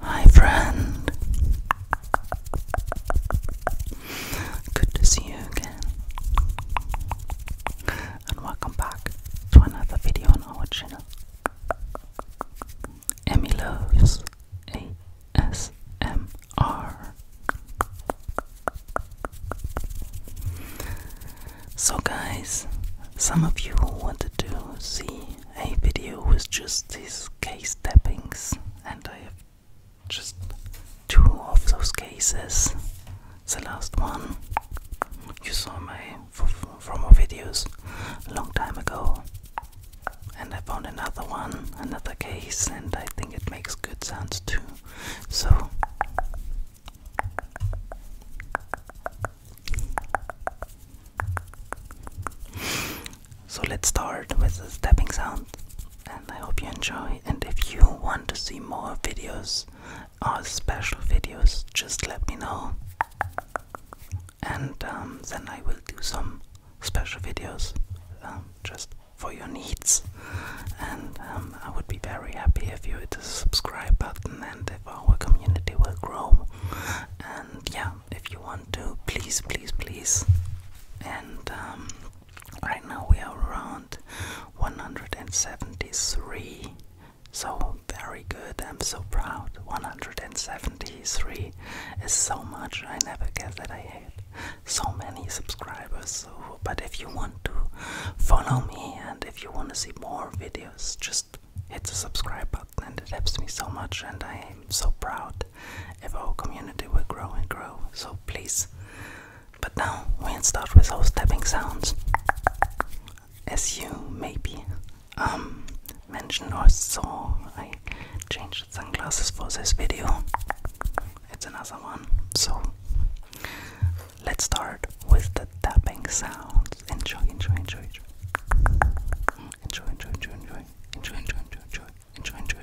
Hi, friend. Good to see you again. And welcome back to another video on our channel. Emmy Loves ASMR. R. So, guys, some of you wanted to see a video with just these case tappings, and I have just two of those cases. The last one you saw my from my videos a long time ago, and I found another one, another case, and I think it makes good sounds too. So so let's start with the stepping sound and I hope you enjoy and if you want to see more videos or uh, special videos just let me know and um, then I will do some special videos um, just for your needs. And um, I would be very happy if you hit the subscribe button and if our community will grow. And yeah, if you want to, please, please, please. And um, right now we are around 173. So very good, I'm so proud. 173 is so much, I never guessed that I had so many subscribers. but if you want to follow me and if you want to see more videos, just hit the subscribe button and it helps me so much. And I am so proud if our community will grow and grow. So, please. But now we start with those tapping sounds. As you maybe um, mentioned or saw, I changed sunglasses for this video it's another one. So let's start with the tapping sounds. Enjoy, enjoy, enjoy, enjoy. Enjoy, enjoy, enjoy, enjoy. Enjoy, enjoy, enjoy, enjoy.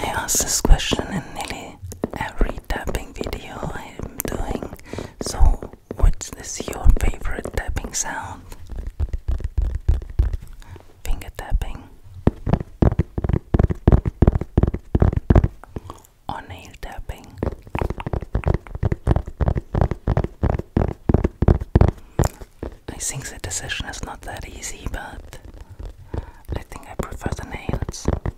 I ask this question in nearly every tapping video I am doing, so What's this your favorite tapping sound? Finger tapping or nail tapping? I think the decision is not that easy, but I think I prefer the nails. If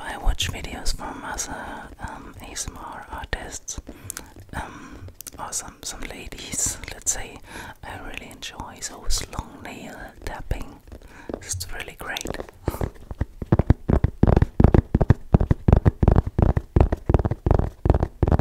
I watch videos from other um, ASMR artists, um, or some some ladies, let's say, I really enjoy those long nail tapping. It's really great.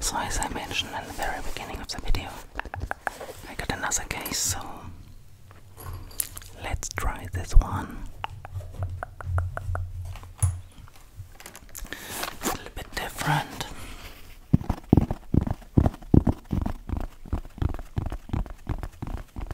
So as I mentioned in the very beginning of the video, I got another case, so let's try this one. It's a little bit different.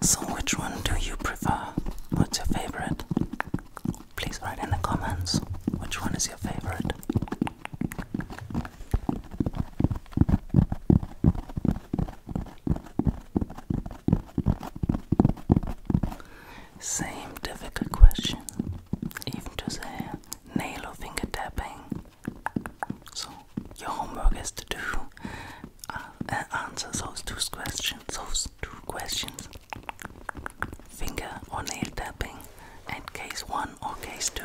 So, which one do you prefer? What's your favorite? Please write in the comments which one is your favorite. Same difficult question, even to the nail or finger tapping. So your homework is to do uh, answer those two questions, those two questions, finger or nail tapping, and case one or case two.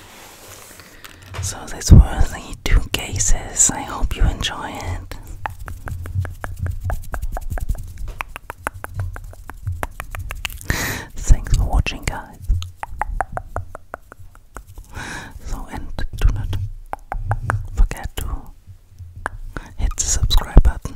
So, these were the two cases. I hope you enjoy it. Thanks for watching, guys. So, and do not forget to hit the subscribe button